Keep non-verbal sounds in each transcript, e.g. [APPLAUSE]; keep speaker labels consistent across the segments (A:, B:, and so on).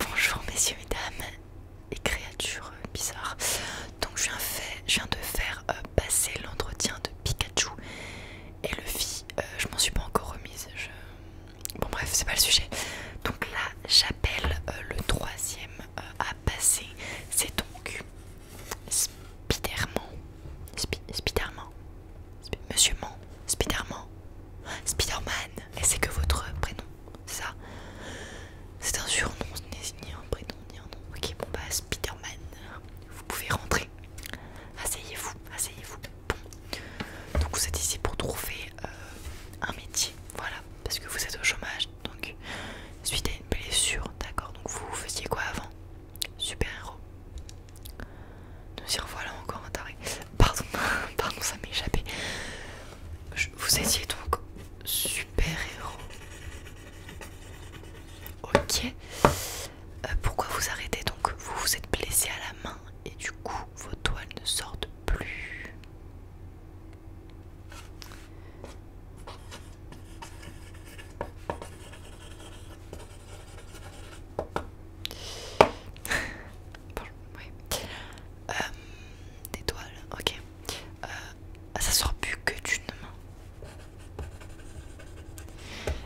A: Bonjour messieurs et dames et créatures bizarres. Donc je viens, de faire euh, passer l'entretien de Pikachu et le vie, euh, je m'en suis pas encore remise. Bon bref, c'est pas le sujet. Donc là j'appelle euh, le troisième à passer. C'est donc Spiderman. Spiderman. Monsieur Man. Spiderman. Spiderman. Et c'est que votre prénom ça. C'est un surnom, ce n'est ni un prénom ni un nom. Ok, bon bah Spiderman. vous pouvez rentrer. Asseyez-vous, asseyez-vous. Bon, donc vous êtes ici pour trouver euh, un métier, voilà, parce que vous êtes au chômage. Donc, suite à une blessure, d'accord. Donc vous faisiez quoi avant Super-héros. Nous y revoilà encore un taré. Pardon, [LAUGHS] pardon, ça m'est échappé. vous étiez donc super-héros. Ok. Euh, pourquoi vous arrêtez donc Vous vous êtes blessé à la main et du coup vos toiles ne sortent plus. [LAUGHS] Euh, des toiles, ok. Euh, ça sort plus que d'une main.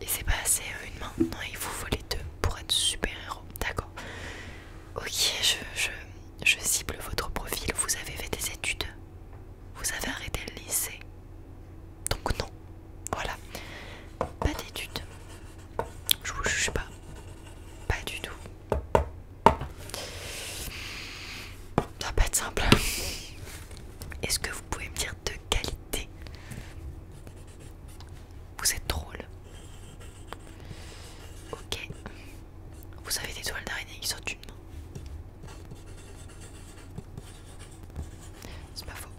A: Et c'est pas assez euh, une main, non, il vous faut les deux pour être super-héros, d'accord. Ok, je, je, je cible votre profil, vous avez fait des études, vous avez arrêté le lycée. Donc non, voilà, pas d'études, je vous juge pas. Pas du tout. Ça va pas être simple. Est-ce que vous pouvez me dire de qualité Vous êtes drôle. Ok. Vous avez des toiles d'araignée qui sortent une C'est pas faux.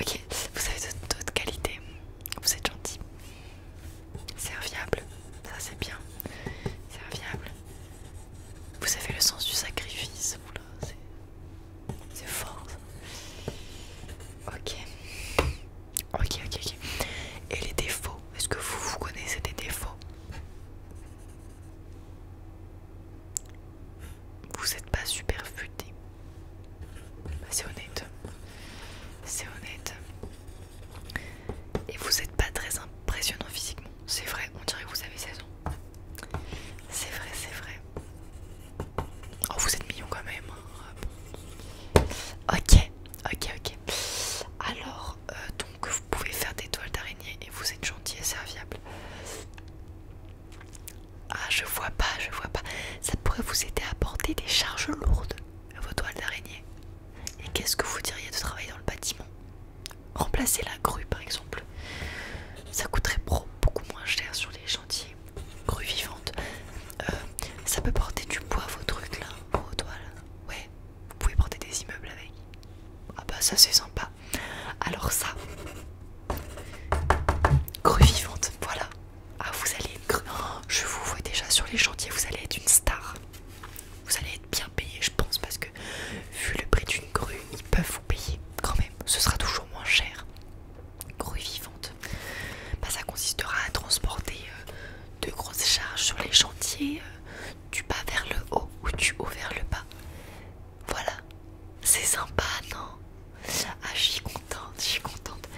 A: Ok, vous avez d'autres qualités. Vous êtes gentil. Serviable, ça c'est bien. Serviable. Vous avez le sens du sacrifice. C'est fort. Ça. Ok. Ok, ok, ok. Et les défauts Est-ce que vous, vous connaissez des défauts vous n'êtes pas super futé. Bah, c'est honnête. C'est honnête. Et vous n'êtes pas très impressionnant physiquement. C'est vrai, on dirait que vous avez 16 ans. C'est vrai, c'est vrai. Oh, vous êtes mignon quand même. Hein. Ok, ok, ok. Alors, euh, donc vous pouvez faire des toiles d'araignée et vous êtes gentil et serviable. Ah, je vois pas, je vois pas. Ça pourrait vous aider à porter des charges lourdes à vos toiles d'araignée. Et qu'est-ce que vous diriez de travailler dans le bâtiment Remplacer la grue par exemple. Ça coûterait beaucoup moins cher sur les chantiers. Grue vivante. Euh, ça peut porter du poids vos trucs là, vos toiles. Ouais, vous pouvez porter des immeubles avec. Ah bah ça c'est sympa. Alors ça, grue vivante, voilà. Ah vous allez être... grue, oh, je vous vois déjà sur les chantiers, vous allez être une star. Vous allez être bien payé je pense parce que vu le prix d'une grue, ils peuvent vous payer quand même. Ce sera toujours moins cher. Grue vivante. Bah, ça consistera à transporter euh, de grosses charges sur les chantiers euh, du bas vers le haut ou du haut vers le bas. Voilà, c'est sympa, non Ah, je suis contente, je suis contente.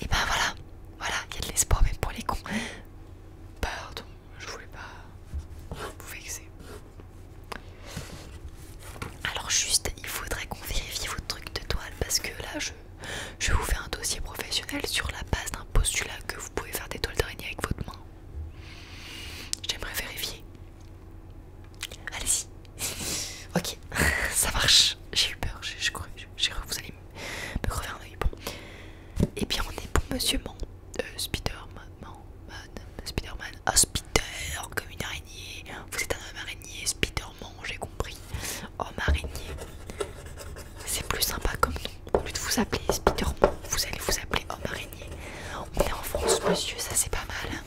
A: Et ben voilà, voilà, il y a de l'espoir même pour les cons. Pardon, je voulais pas vous vexer. Alors juste, il faudrait qu'on vérifie votre truc de toile parce que là, je, je vous fais un dossier professionnel sur la base d'un postulat que vous pouvez faire des toiles d'araignée avec votre main. J'aimerais vérifier. Allez-y. [LAUGHS] ok, [LAUGHS] ça marche. J'ai eu peur, j'ai cru, que vous allez me, crever un oeil. Et eh bien on est pour Monsieur Man, euh, Spider-Man, Man, Spider-Man, Spider comme une araignée. Vous êtes un homme araignée, Spider-Man, j'ai compris. Homme araignée. C'est plus sympa comme nom. Au lieu de vous appeler Spider-Man, vous allez vous appeler homme araignée. On est en France, monsieur, ça c'est pas mal. Hein.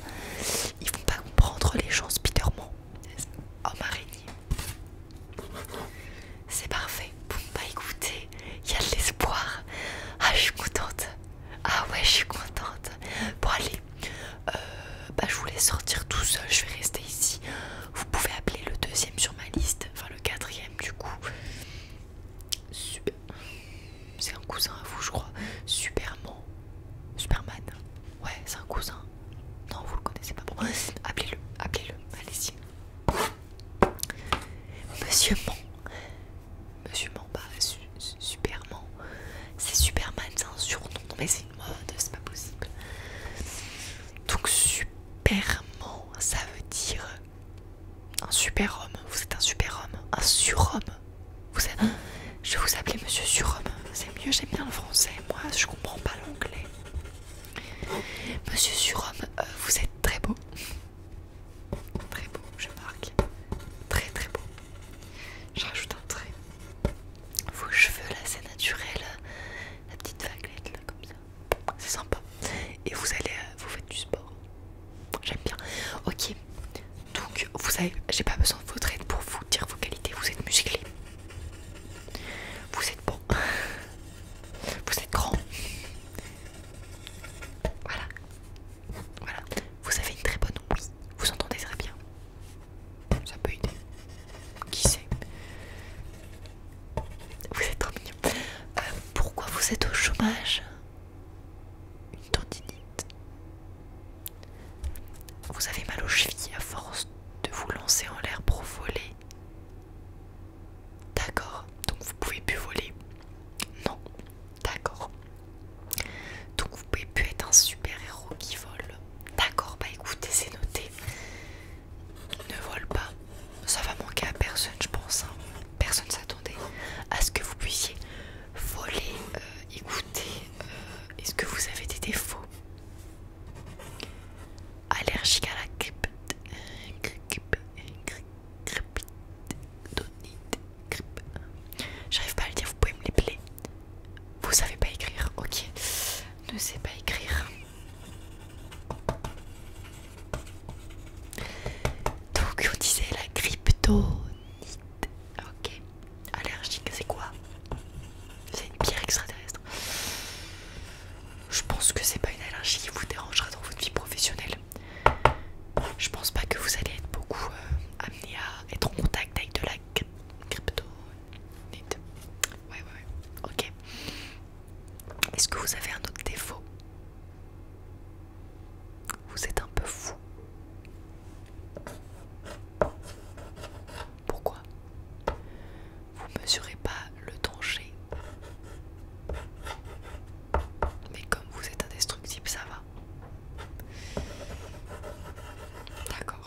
A: Ils vont pas comprendre les gens Spiderman. Oh, Homme araignée. C'est parfait. Bon, bah écoutez, il y a de l'espoir. Ah, je suis contente. Ah ouais, je suis contente. Bon, allez, euh, bah, je voulais sortir tout seul. Je vais rester ici. Vous pouvez appeler le deuxième sur ma liste. Enfin, le quatrième, du coup. super. C'est un cousin à vous, je crois. Superman. Superman. Ouais, c'est un cousin. Non, vous le connaissez pas. appelez-le. Appelez-le. Allez-y. Monsieur Man. Monsieur Man, bah, Superman. C'est Superman, c'est un surnom. Non, mais c'est une mode, c'est pas possible. Donc, Superman, ça veut dire un super-homme, vous êtes un super-homme, un surhomme. Vous êtes... Je vous appeler monsieur surhomme, c'est mieux, j'aime bien le français, moi je comprends pas l'anglais. Monsieur surhomme, euh, vous êtes très beau. Très beau, je marque. Très très beau. Je rajoute un trait. Vos cheveux là, c'est naturel. La petite vaguelette là, comme ça. C'est sympa. Et vous allez, euh, vous faites du sport. J'aime bien. Ok. Donc vous savez, j'ai pas besoin de votre aide pour vous dire vos qualités. Vous êtes musclé. Vous êtes bon. [LAUGHS] Vous êtes grand. Voilà. Voilà. Vous avez une très bonne oui. Vous entendez très bien. Ça peut aider. Qui sait Vous êtes trop mignon. Euh, pourquoi vous êtes au chômage une tendinite. Vous avez mal aux chevilles à force de vous lancer en l'air pour voler. D'accord, donc vous pouvez plus voler. Non, d'accord. Donc vous pouvez plus être un super héros qui vole. D'accord, bah écoutez, c'est noté. Ne vole pas. Ça va manquer à personne, je pense. Hein personne s'attendait à ce que vous puissiez voler, euh, écouter. Euh, est-ce que vous avez des défauts Allergique à la grippe, grippe, grippe, grippe, J'arrive pas à le dire, vous pouvez me l'épeler. Vous savez pas écrire, ok. Ne sais pas écrire. Donc on disait la cryptonite. Ok. Allergique, c'est quoi C'est une pierre extraterrestre. Je pense que c'est pas une allergie qui vous dérangera dans votre vie professionnelle. Je pense pas que vous allez être beaucoup euh, amené à être en contact avec de la cryptonite. Ouais, ouais, ouais. Ok. Est-ce que vous avez un autre défaut vous êtes un peu fou. Pourquoi Vous ne mesurez pas le danger. Mais comme vous êtes indestructible, ça va. D'accord.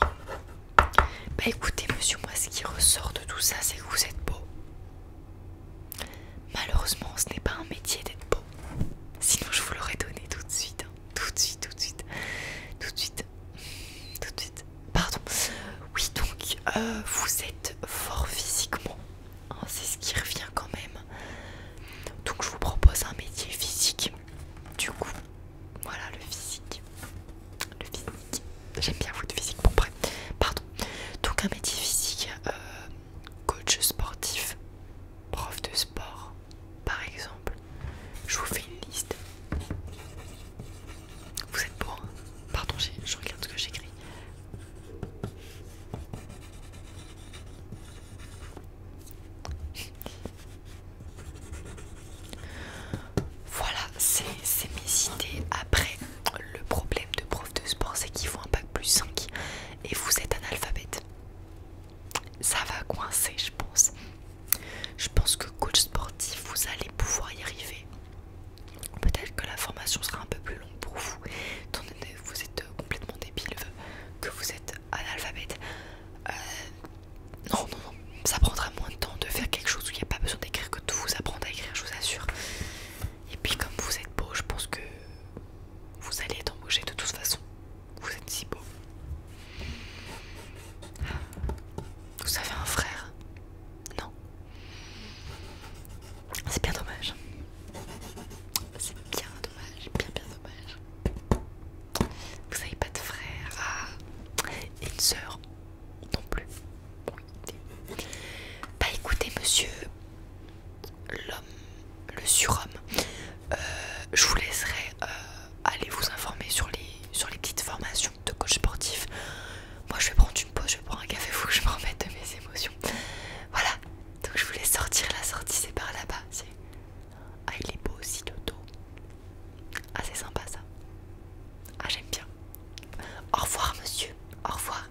A: Bah écoutez, monsieur, moi ce qui ressort de tout ça, c'est que vous êtes beau. Malheureusement, ce n'est pas un métier d'être beau. Sinon, je vous l'aurais donné tout de suite. Hein. Tout de suite, tout de suite. Tout de suite. Tout de suite. Pardon. Oui, donc, euh, vous êtes fort physiquement. Hein, c'est ce qui revient quand même. Donc, je vous propose un métier physique. Du coup, voilà le physique. Le physique. J'aime bien vous de physique. Bon, bref. Pardon. Donc, un métier physique. Euh, coach sportif, prof de sport, par exemple. Je vous fais une liste. Vous êtes pour hein. Pardon, je regarde ce que j'écris. Voilà, c'est mes idées. Après, le problème de prof de sport, c'est qu'il faut un pack plus 5 et vous êtes analphabète. Ça va coincer, je pense. Je pense que coach sportif, vous allez pouvoir y arriver. Peut-être que la formation sera un peu plus longue pour vous, étant que vous êtes complètement débile, que vous êtes analphabète. Euh, non, non, non, ça prendra moins de temps de faire quelque chose où il n'y a pas besoin d'écrire que tout vous apprendre à écrire, je vous assure. Et puis, comme vous êtes beau, je pense que vous allez être embauché de toute façon. Vous êtes si beau. Vous avez un frère Non. C'est bien dommage. C'est bien dommage, bien bien dommage. Vous n'avez pas de frère ah. et une sœur non plus. Oui. Bah écoutez monsieur, l'homme, le surhomme. Euh, je vous laisserai euh, aller vous informer sur les, sur les petites formations de coach sportif. Moi je vais prendre une pause, je vais prendre un café, fou, je me remette de mes émotions. Voilà, donc je voulais sortir, la sortie c'est par là-bas. Ah il est beau aussi le dos. Ah c'est sympa ça. Ah j'aime bien. Au revoir monsieur, au revoir.